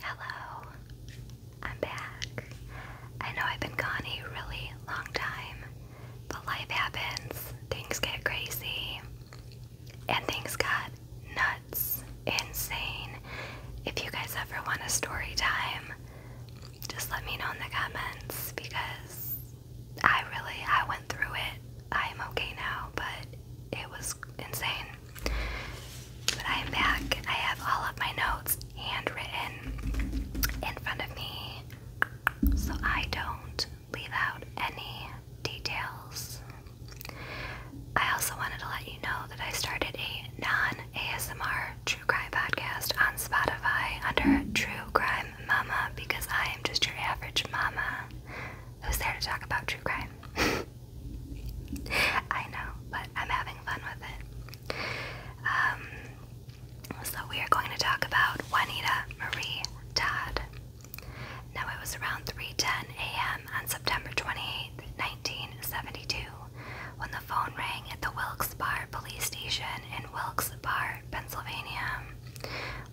Hello, I'm back. I know I've been gone a really long time, but life happens, things get crazy, and things got nuts, insane. If you guys ever want a story time, just let me know in the comments because I really I went through it. I am okay now, but it was insane. But I am back. I have all of my notes handwritten in front of me so I don't leave out any details. I also wanted to let you know that I started a non ASMR true crime podcast on Spotify under True Crime Mama because I am just your average mama who's there to talk about true crime? I know, but I'm having fun with it. Um, so, we are going to talk about Juanita Marie Todd. Now, it was around 3:10 a.m. on September 28, when the phone rang at the Wilkes-Barre Police Station in Wilkes-Barre, Pennsylvania.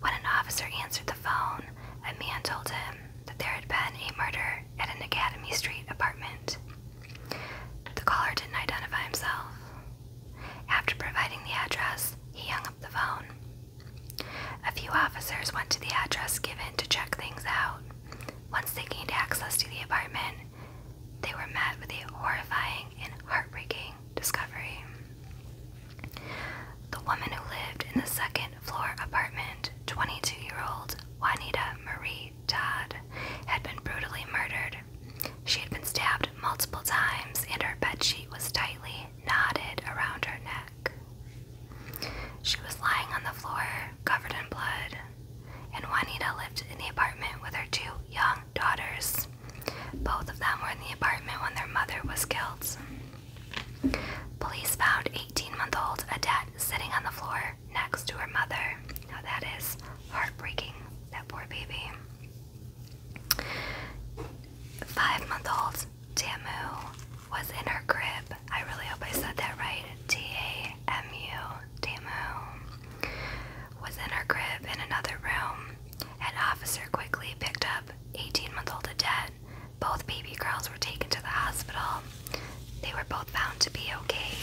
When an officer answered the phone, a man told him that there had been a murder at an Academy Street apartment. The caller didn't identify himself. After providing the address, he hung up the phone. A few officers went to the address given to check things out. Once they gained access to the apartment, they were met with a horrifying and heartbreaking discovery. The woman who lived in the second floor apartment, 22 year old Juanita Marie Todd, had been brutally murdered. She had been stabbed multiple times and her bedsheet was tightly knotted around her neck. She was lying on the floor, covered in blood, and Juanita lived in the apartment with her two young daughters. Both of them were in the apartment when their mother was killed. Police found 18 month old Adet sitting on the floor next to her mother. Now that is heartbreaking, that poor baby. Five month old Tamu was in her crib. I really hope I said that right. T A M U, Tamu was in her crib in another room. An officer quickly picked up 18 month old Adet both baby girls were taken to the hospital. They were both found to be okay,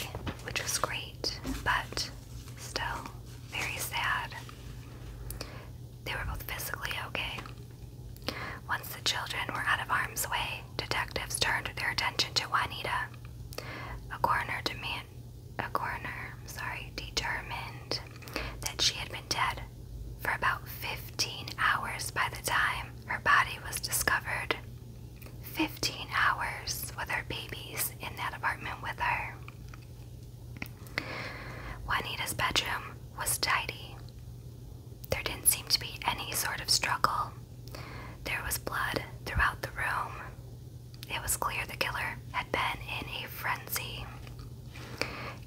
which was great, but still very sad. They were both physically okay. Once the children were out of harm's way, detectives turned their attention to Juanita. A coroner demand a coroner, sorry, determined that she had been dead for about 15 hours by the time her body was discovered. 15 hours with her babies in that apartment with her. Juanita's bedroom was tidy. There didn't seem to be any sort of struggle. There was blood throughout the room. It was clear the killer had been in a frenzy.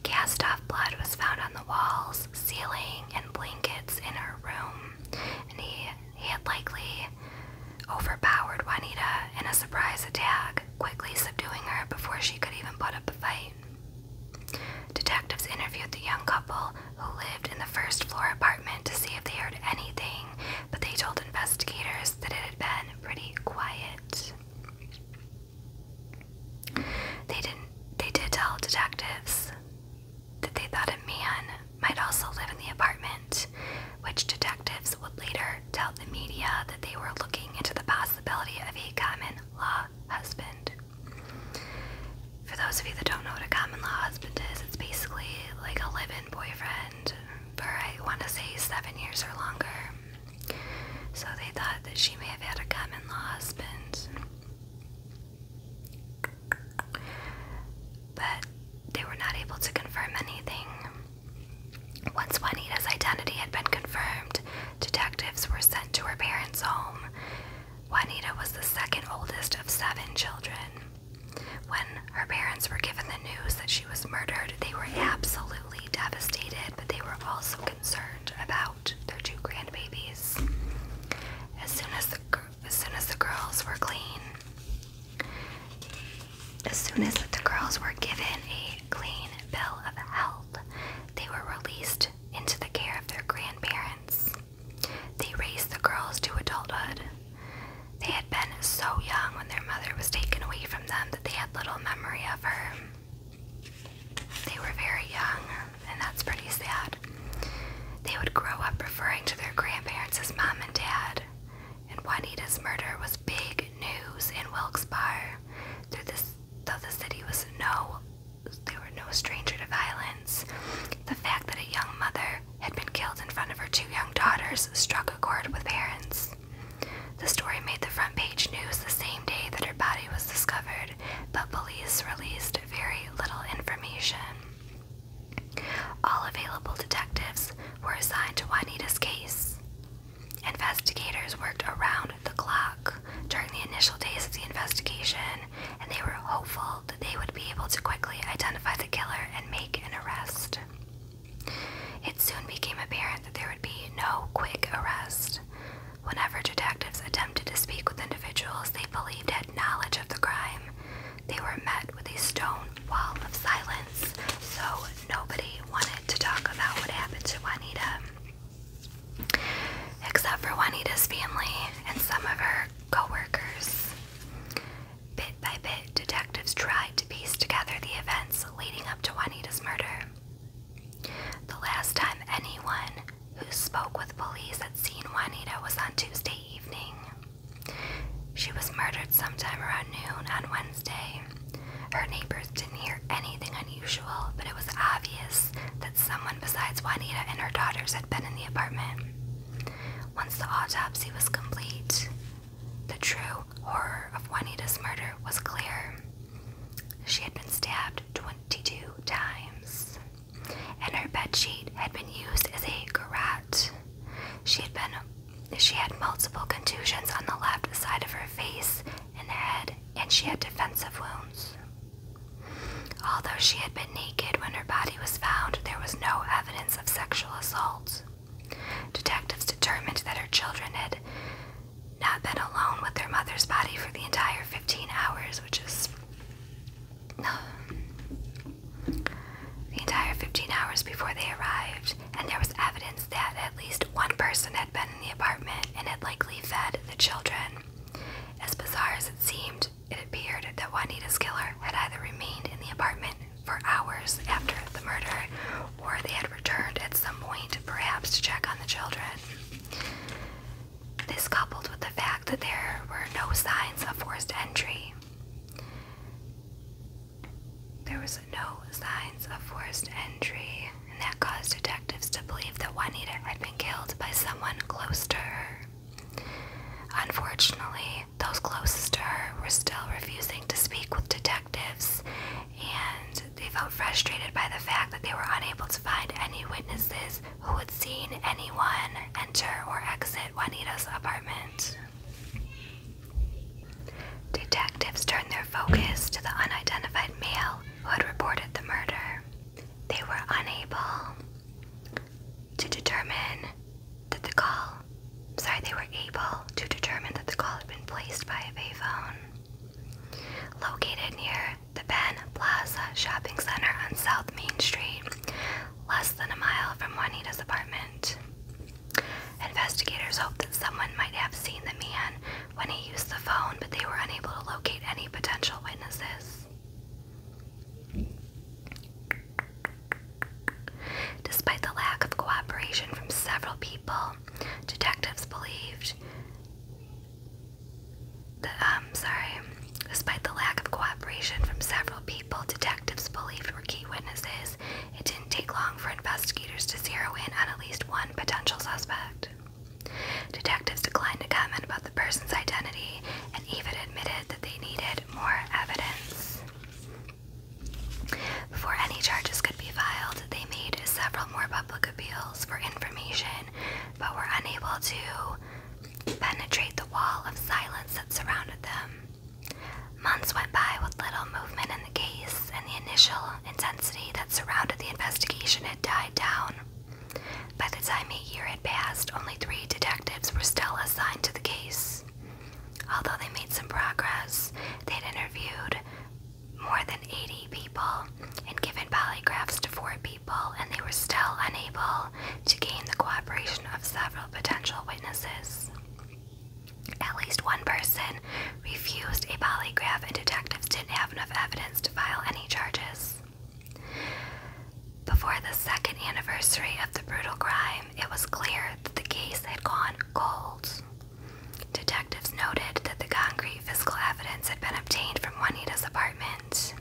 Cast off blood was found on the walls, ceiling, and blankets in her room, and he, he had likely overpowered Juanita in a surprise attack, quickly subduing her before she could even put up a fight. Detectives interviewed the young couple who lived in the first floor apartment to see if they heard anything, but they told investigators that it had been pretty quiet. They didn't they did tell detectives that they thought a man might also live in the apartment, which detectives would later tell the media that they were looking into the possibility of a common law husband. For those of you that don't know what a common law husband is, it's basically like a living boyfriend for I want to say seven years or longer. So they thought that she may have had a common law husband. But they were not able to confirm anything. Once Juanita's identity had been confirmed, detectives were sent to her parents' home. Juanita was the second oldest of seven children. When her parents were given the news that she was murdered, they were absolutely absolutely devastated, but they were also concerned about their two grandbabies. As soon as the as soon as the girls were clean, as soon as the girls were given a clean bill of health, they were released into the care of their grandparents. They raised the girls to adulthood. They had been so young when their mother was taken away from them that they little memory of her. They were very young, and that's pretty sad. They would grow up referring to their grandparents as mom and dad, and Juanita's murder was big news in Wilkes-Barre, though, though the city was no, they were no stranger to violence. The fact that a young mother had been killed in front of her two young daughters struck a chord with parents. The story made the front page news the same day that her body was discovered, but police released very little information. All available detectives were assigned to Juanita's case. Investigators worked around the clock during the initial days of the investigation, and they were hopeful that they would be able to quickly identify the killer and make an arrest. It soon became apparent that there would be no quick arrest. Whenever detectives attempted to speak with individuals they believed had knowledge of the crime, they were met with a stone wall of silence, so nobody wanted to talk about what happened to Juanita. Except for Juanita's family and some of her coworkers. Bit by bit, detectives tried to piece together the events leading up to Juanita's murder. The last time anyone who spoke with police had seen Juanita was on Tuesday evening. She was murdered sometime around noon on Wednesday. Her neighbors didn't hear anything unusual, but it was obvious that someone besides Juanita and her daughters had been in the apartment. Once the autopsy was complete, the true horror of Juanita's murder was clear. She had been stabbed 22 times, and her bedsheet had been used as a garrote. She had been she had multiple contusions on the left side of her face and head, and she had defensive wounds. Although she had been naked when her body was found, there was no evidence of sexual assault. Detectives determined that her children had not been alone with their mother's body for the entire 15 hours, which is. The entire 15 hours before they arrived, and there was evidence that at least one person had been in the apartment and had likely fed the children. As bizarre as it seemed, it appeared that Juanita's killer had either remained in the apartment for hours after the murder, or they had returned at some point, perhaps to check on the children. This coupled with the fact that there were no signs of forced entry. There was no signs of forced entry, and that caused detectives to believe that Juanita had been killed by someone close to her. Unfortunately, those closest to her were still refusing to speak with detectives, and they felt frustrated by the fact that they were unable to find any witnesses who had seen anyone enter or exit Juanita's apartment. Detectives turned their focus to the unidentified male who had reported the murder. They were unable to determine that the call, sorry, they were able to determine that the call had been placed by a payphone located near the Ben Plaza Shopping Center on South Main Street, less than a mile from Juanita's apartment. Investigators hoped that someone might have seen the man when he used the phone, but they were unable to locate any potential witnesses. Despite the lack of cooperation from several people, detectives believed um, sorry. Despite the lack of cooperation from several people detectives believed were key witnesses, it didn't take long for investigators to zero in on at least one potential suspect. Detectives declined to comment about the person's identity and even admitted that they needed more evidence. Before any charges could be filed, they made several more public appeals for information but were unable to penetrate the wall of silence that surrounded them. Months went by with little movement in the case, and the initial intensity that surrounded the investigation had died down. By the time a year had passed, only three detectives were still assigned to the case. Although they made some progress, they'd interviewed more than 80 people and given polygraphs to four people, and they were still unable to gain the cooperation of several potential witnesses. At least one person refused a polygraph, and detectives didn't have enough evidence to file any charges. Before the second anniversary of the brutal crime, it was clear that the case had gone cold. Detectives noted that the concrete physical evidence had been obtained from Juanita's apartment.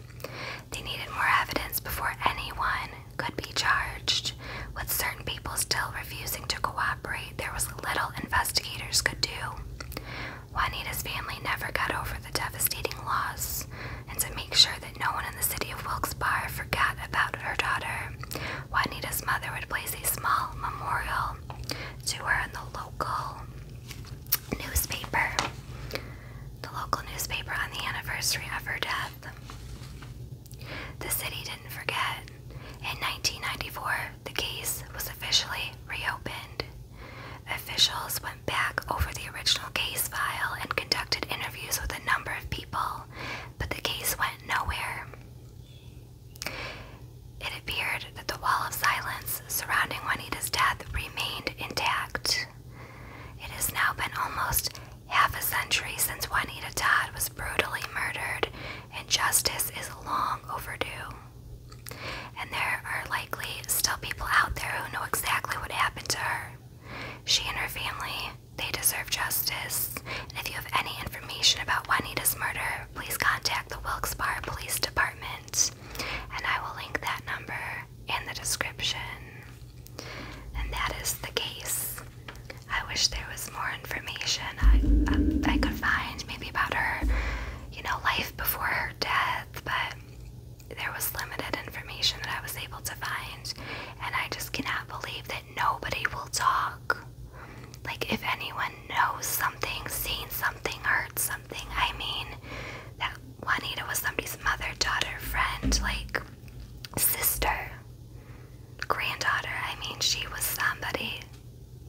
They needed more evidence before anyone could be charged. With certain people still refusing to cooperate, there was little investigators could do. Juanita's family never got over the devastating loss and to make sure that no one in the city of Wilkes-Barre forgot about her daughter. Juanita's mother would place a small memorial to her in the local newspaper, the local newspaper on the anniversary of her death. The city didn't forget. In 1994, the case was officially reopened. Officials went back over the original case file and conducted interviews with a number of people, but the case went nowhere. It appeared that the wall of silence surrounding Juanita's death remained intact. It has now been almost half a century since Juanita Todd was brutally murdered, and justice is long overdue. And there are likely still people out there who know exactly what happened to her. She and her family, they deserve justice. if you have any information about Juanita's murder, please contact the Wilkes-Barre Police Department. And I will link that number in the description. And that is the case. I wish there was more information I, I, I could find, maybe about her, you know, life before her death, but there was limited information that I was able to find, and I just cannot believe that nobody will talk. Like, if anyone knows something, seen something, heard something, I mean, that Juanita was somebody's mother, daughter, friend, like, sister, granddaughter. I mean, she was somebody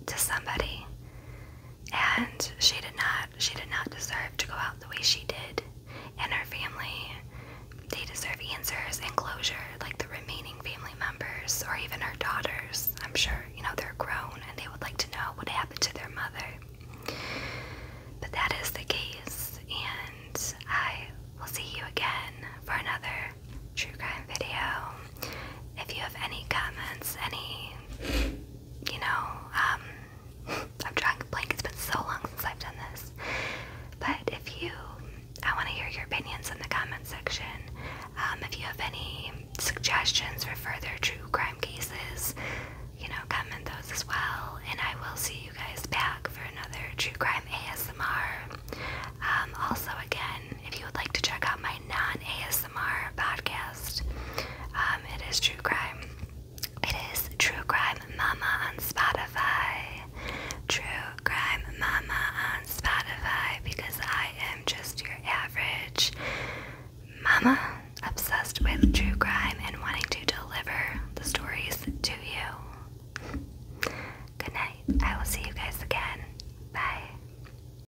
to somebody, and she did not she did not deserve to go out the way she did. And her family, they deserve answers and closure, like the remaining family members or even her daughters. I'm sure, you know, they're grown and they would like to know what happened to their mother. But that is the case, and I will see you again for another true crime video. If you have any comments, any you know, um, I'm drawing a blank. It's been so long since I've done this. But if you, I want to hear your opinions in the comment section. Um, if you have any suggestions for further true crime cases, you know, comment those as well. And I will see you guys back for another true crime ASMR. Um, also, again, if you would like to check out my non ASMR podcast, um, it is true crime. It is True Crime Mama on Spotify. True Crime Mama on Spotify because I am just your average mama obsessed with true crime and wanting to deliver the stories to you. Good night. I will see you guys again. Bye.